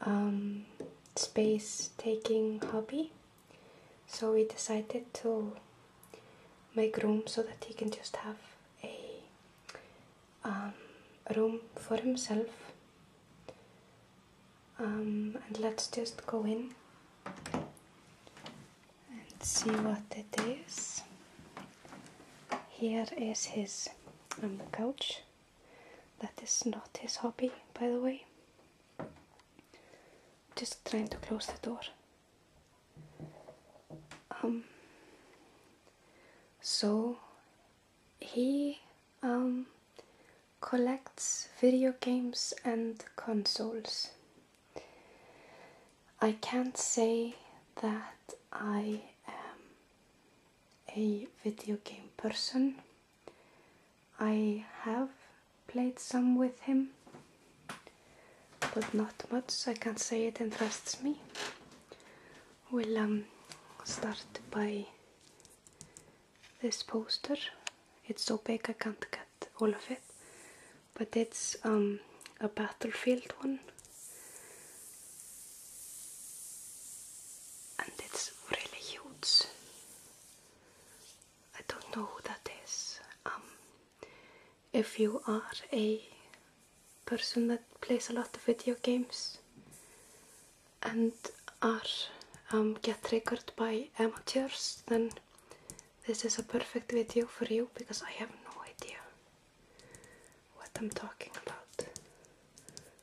Um, space taking hobby. So we decided to make room so that he can just have a um, room for himself. Um, and let's just go in and see what it is. Here is his couch. That is not his hobby, by the way. Just trying to close the door. Um, so he um, collects video games and consoles. I can't say that I am a video game person. I have played some with him, but not much. I can't say it interests me. We'll um, start by this poster. It's so big I can't get all of it, but it's um, a battlefield one. And it's really huge. I don't know who that is. Um, if you are a person that plays a lot of video games and are um, get triggered by amateurs, then this is a perfect video for you because I have no idea what I'm talking about.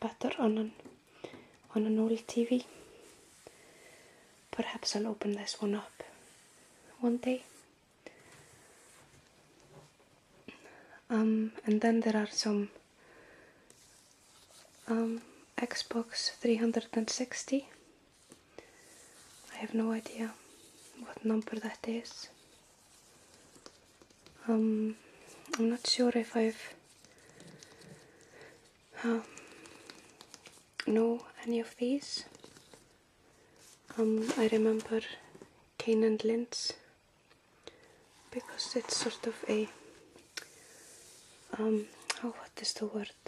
better on an, on an old TV. Perhaps I'll open this one up one day. Um, and then there are some um, Xbox 360. I have no idea what number that is. Um, I'm not sure if I've um, know any of these. Um, I remember Kane and Lintz because it's sort of a um, oh, what is the word?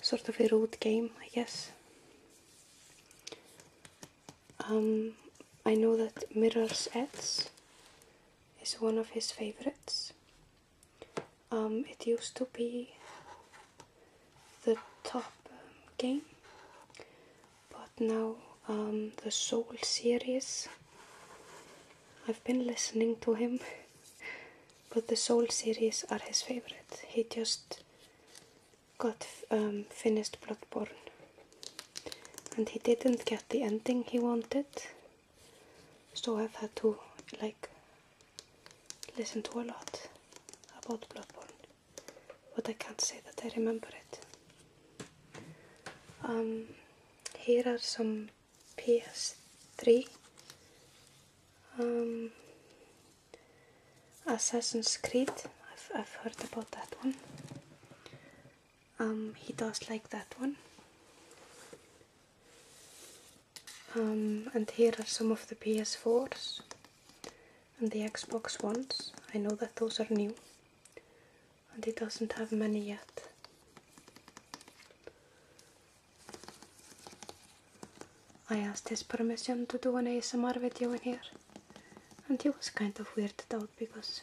Sort of a road game, I guess. Um, I know that Mirror's Edge is one of his favorites. Um, it used to be the top um, game, but now the Soul series. I've been listening to him, but the Soul series are his favorite. He just got finished Bloodborne and he didn't get the ending he wanted so I've had to like listen to a lot about Bloodborne but I can't say that I remember it um, here are some PS3 um, Assassin's Creed I've heard about that one um, he does like that one. Um, and here are some of the PS4s and the Xbox ones. I know that those are new and he doesn't have many yet. I asked his permission to do an ASMR video in here and he was kind of weirded out because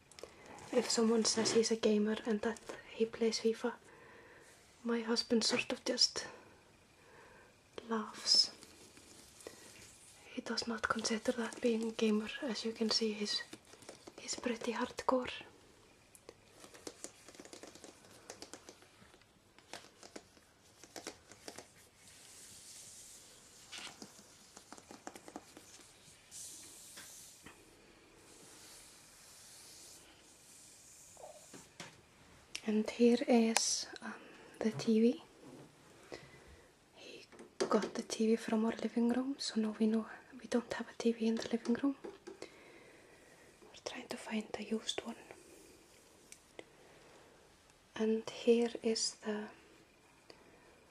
If someone says he's a gamer and that he plays FIFA, my husband sort of just laughs. He does not consider that being a gamer, as you can see he's, he's pretty hardcore. And here is um, the TV. He got the TV from our living room, so now we know we don't have a TV in the living room. We're trying to find a used one. And here is the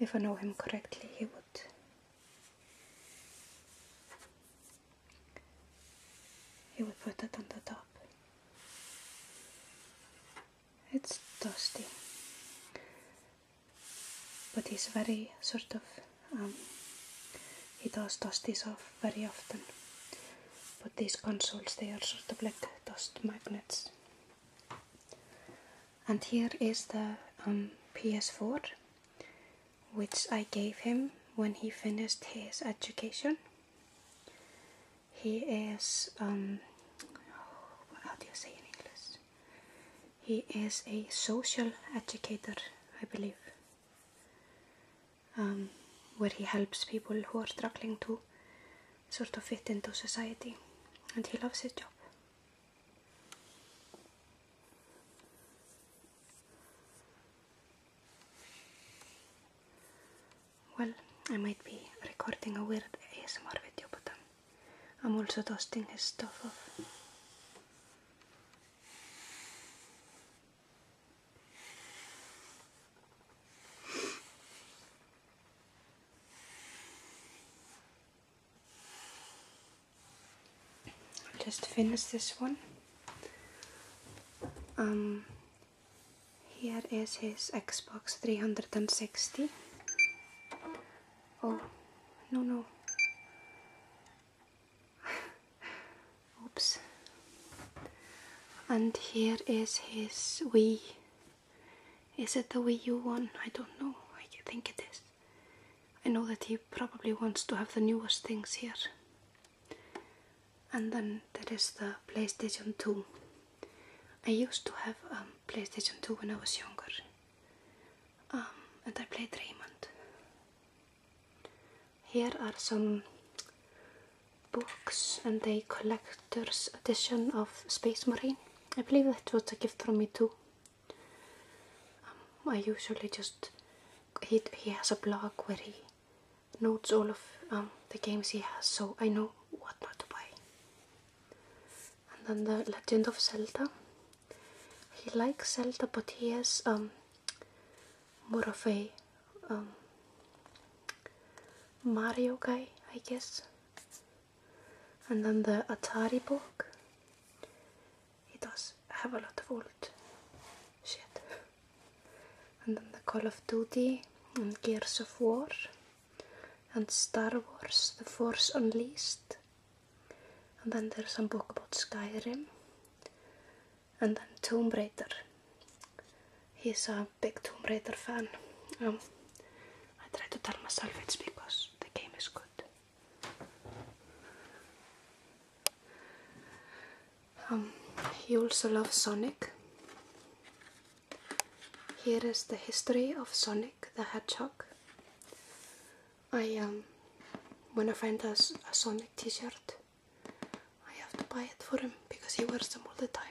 if I know him correctly, he would he would put that on the top. It's dusty, but he's very sort of um, he does dust this off very often. But these consoles, they are sort of like dust magnets. And here is the um, PS4 which I gave him when he finished his education. He is, um, how do you say in English? He is a social educator, I believe, um, where he helps people who are struggling to sort of fit into society, and he loves his job. Well, I might be recording a weird ASMR video, but I'm also dusting his stuff off just finish this one. Um, here is his Xbox 360. Oh, no, no. Oops. And here is his Wii is it the Wii U one? I don't know. I think it is. I know that he probably wants to have the newest things here. And then there is the PlayStation 2. I used to have a um, PlayStation 2 when I was younger. Um, and I played Raymond. Here are some books and a collector's edition of Space Marine. I believe that was a gift from me too. Um, I usually just he he has a blog where he notes all of um, the games he has, so I know what not to buy. And then the Legend of Zelda. He likes Zelda, but he has um, more of a Mario guy, I guess and then the Atari book. It does have a lot of old shit. And then the Call of Duty and Gears of War and Star Wars, The Force Unleashed. And then there's some book about Skyrim. And then Tomb Raider. He's a um, a big Tomb Raider fan. Um, I try to tell myself it's because the game is good. Um, he also loves Sonic. Here is the history of Sonic the Hedgehog. I um, when I find a, a Sonic T-shirt, I have to buy it for him because he wears them all the time.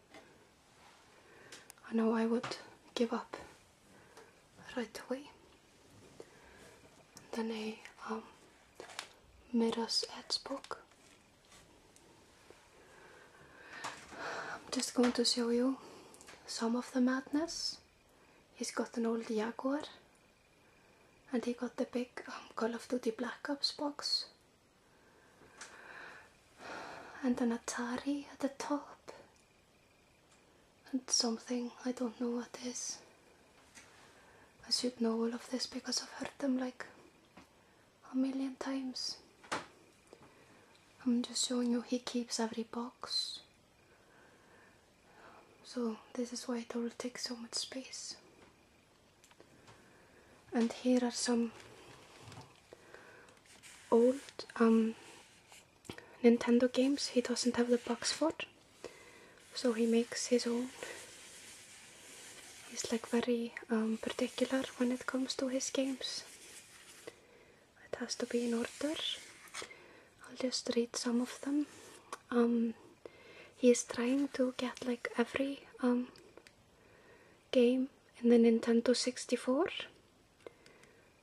I know I would give up right away. Then they um, made us ads book. I'm just going to show you some of the madness. He's got an old Jaguar and he got the big um, Call of Duty Black Ops box and an Atari at the top, and something I don't know what is. I should know all of this because I've heard them like a million times. I'm just showing you he keeps every box. So this is why it all takes so much space. And here are some old um, Nintendo games he doesn't have the box for, it, so he makes his own. He's like very um, particular when it comes to his games. It has to be in order. I'll just read some of them. Um, he is trying to get like every um, game in the Nintendo 64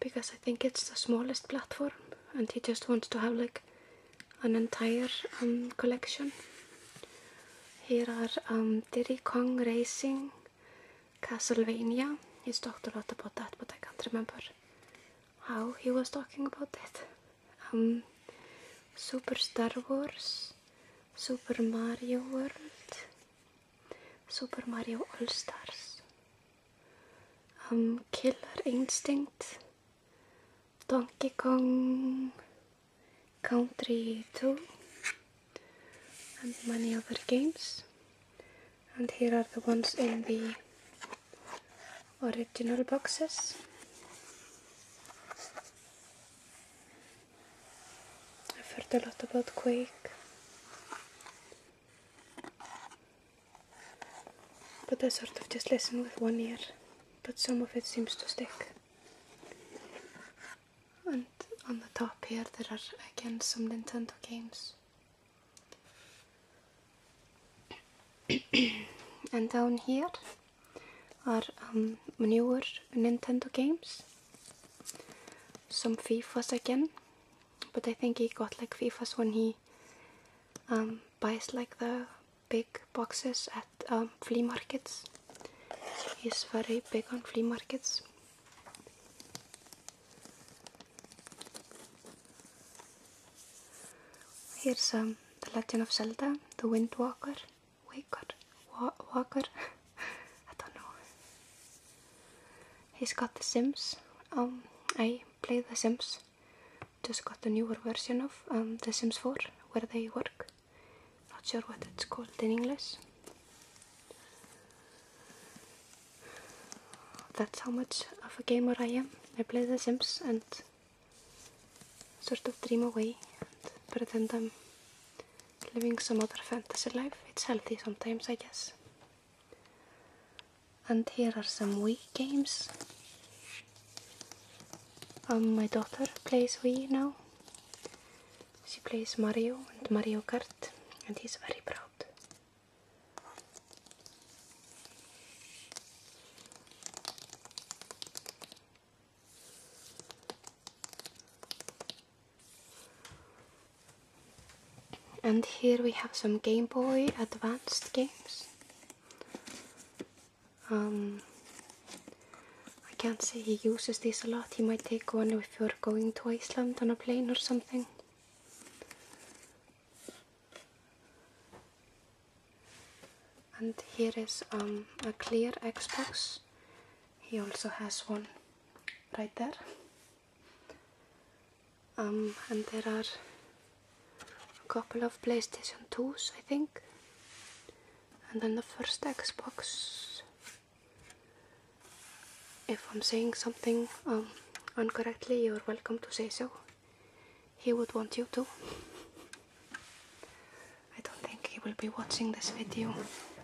because I think it's the smallest platform and he just wants to have like an entire um, collection. Here are um, Diddy Kong Racing, Castlevania. He's talked a lot about that but I can't remember how he was talking about it. Um, Super Star Wars, Super Mario World, Super Mario All Stars, um, Killer Instinct, Donkey Kong Country 2, and many other games. And here are the ones in the original boxes. I've heard a lot about Quake. But I sort of just listen with one ear, but some of it seems to stick. And on the top here there are again some Nintendo games. and down here are um, newer Nintendo games some FIFAs again, but I think he got like FIFAs when he um, buys like the big boxes at um, flea markets. He's very big on flea markets. Here's um, The Legend of Zelda, The Wind Waker, Wa Walker. I don't know. He's got The Sims. Um, I play The Sims. Just got the newer version of um, The Sims 4, where they work. Not sure what it's called in English. That's how much of a gamer I am. I play The Sims and sort of dream away and pretend I'm living some other fantasy life. It's healthy sometimes, I guess. And here are some Wii games. Um, my daughter plays Wii now. She plays Mario and Mario Kart, and he's very proud. And here we have some Game Boy Advanced games. Um, I can't say he uses this a lot. He might take one if you're going to Iceland on a plane or something. And here is um, a clear Xbox. He also has one right there um, and there are a couple of PlayStation 2s I think and then the first Xbox if I'm saying something um, incorrectly you're welcome to say so he would want you to I don't think he will be watching this video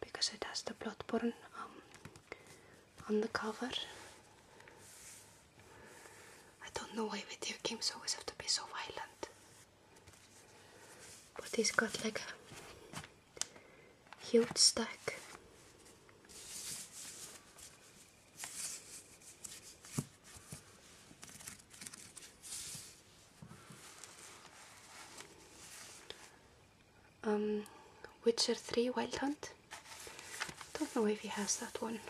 because it has the Bloodborne um, on the cover. I don't know why video games always have to be so violent. But he's got like a huge stack. Um, Witcher 3 Wild Hunt. Don't know if he has that one.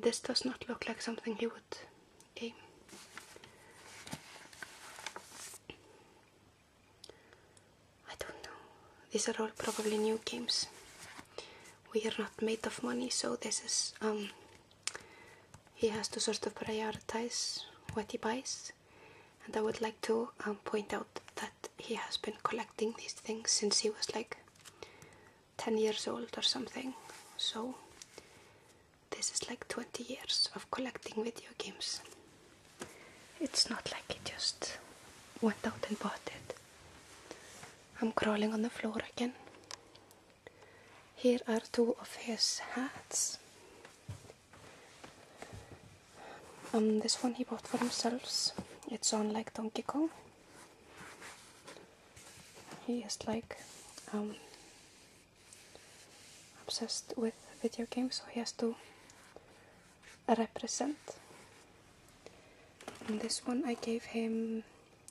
this does not look like something he would game. I don't know. These are all probably new games we are not made of money, so this is um, he has to sort of prioritize what he buys. And I would like to um, point out that he has been collecting these things since he was like 10 years old or something. So this is like 20 years of collecting video games. It's not like he just went out and bought it. I'm crawling on the floor again. Here are two of his hats. Um, this one he bought for himself. It's on like Donkey Kong. He is like um, obsessed with video games, so he has to represent. this one I gave him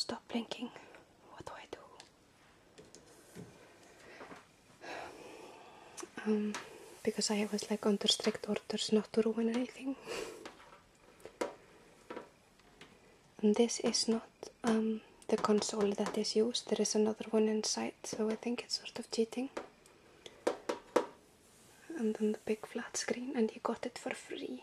Stop blinking. What do I do? Um, because I was like under strict orders not to ruin anything. this is not um, the console that is used. There is another one inside, so I think it's sort of cheating. And then the big flat screen, and you got it for free.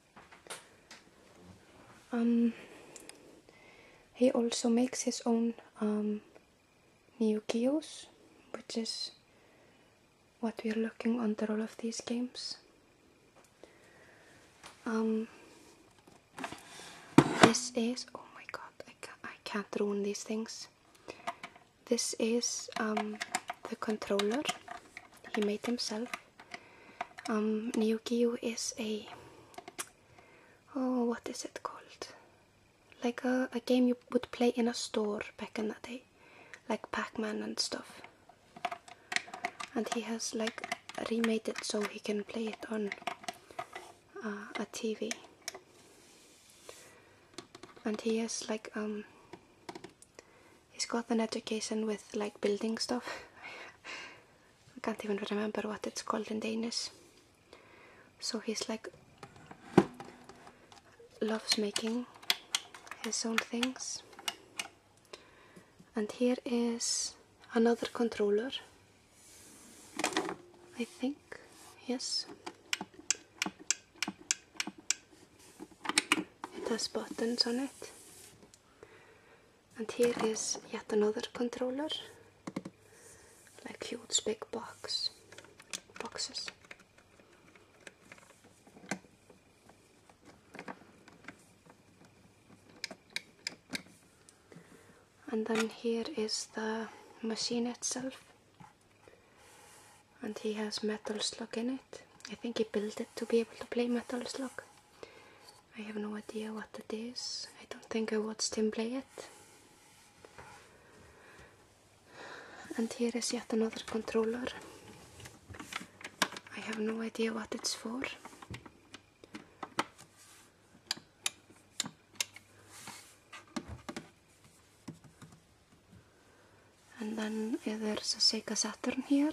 Um, he also makes his own um, Neogeos, which is what we're looking under all of these games. Um, this is, oh my god, I, can't ruin these things. This is um, the controller he made himself. Um, Neo is a oh, what is it called? Like a, game you would play in a store back in that day, like Pac-Man and stuff. And he has like remade it so he can play it on uh, a TV. And he has like um he's got an education with like building stuff. I can't even remember what it's called in Danish. So he's like loves making his own things. And here is another controller. I think, yes. It has buttons on it and here is yet another controller like huge big box boxes and then here is the machine itself and he has metal slug in it I think he built it to be able to play metal slug I have no idea what it is. I don't think I watched him play it. And here is yet another controller. I have no idea what it's for. And then eh, there's a Sega Saturn here.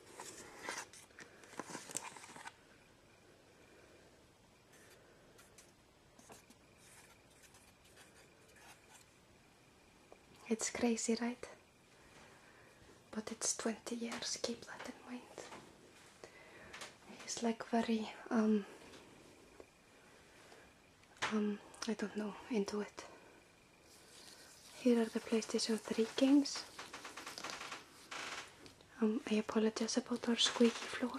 It's crazy, right? But it's 20 years, keep that in mind. He's like very, um, um, I don't know, into it. Here are the PlayStation 3 games. Um, I apologize about our squeaky floor.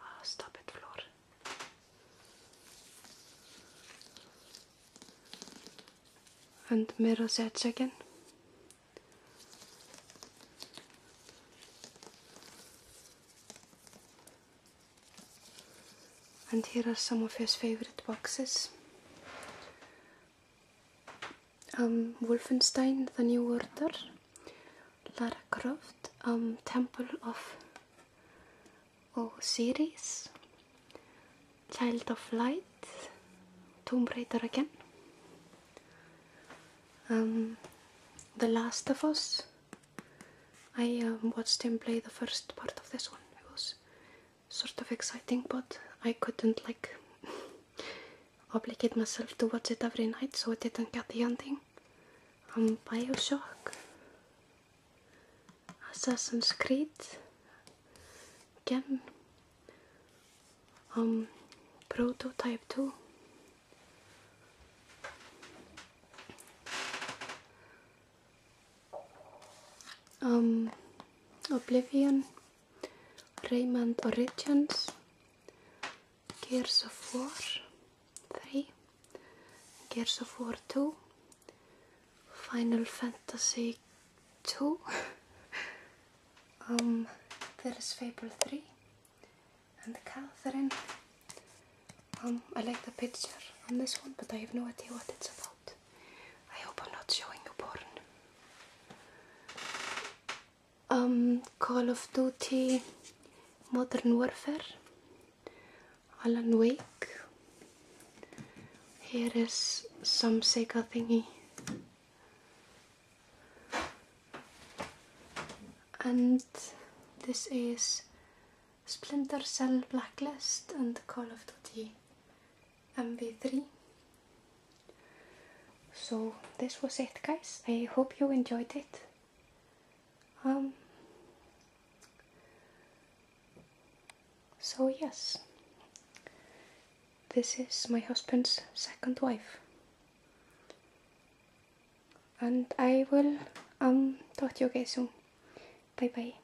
Oh, stop it, floor. And Mirror's Edge again and here are some of his favourite boxes. Um, Wolfenstein, The New Order, Lara Croft, um, Temple of Osiris, Child of Light, Tomb Raider again, um, The Last of Us. I watched him play the first part of this one. It was sort of exciting, but I couldn't like obligate myself to watch it every night, so I didn't get the ending. Um, Bioshock, Assassin's Creed, again, um, Prototype 2 um, Oblivion, Raymond Origins, Gears of War 3, Gears of War 2, Final Fantasy 2, um, there is Fable 3 and Catherine. Um, I like the picture on this one but I have no idea what it's about. I hope I'm not showing you porn. Um, Call of Duty, Modern Warfare, Alan Wake. Here is some Sega thingy. And this is Splinter Cell Blacklist and Call of Duty MV3 so this was it guys I hope you enjoyed it um so yes this is my husband's second wife and I will um talk to you guys soon bye bye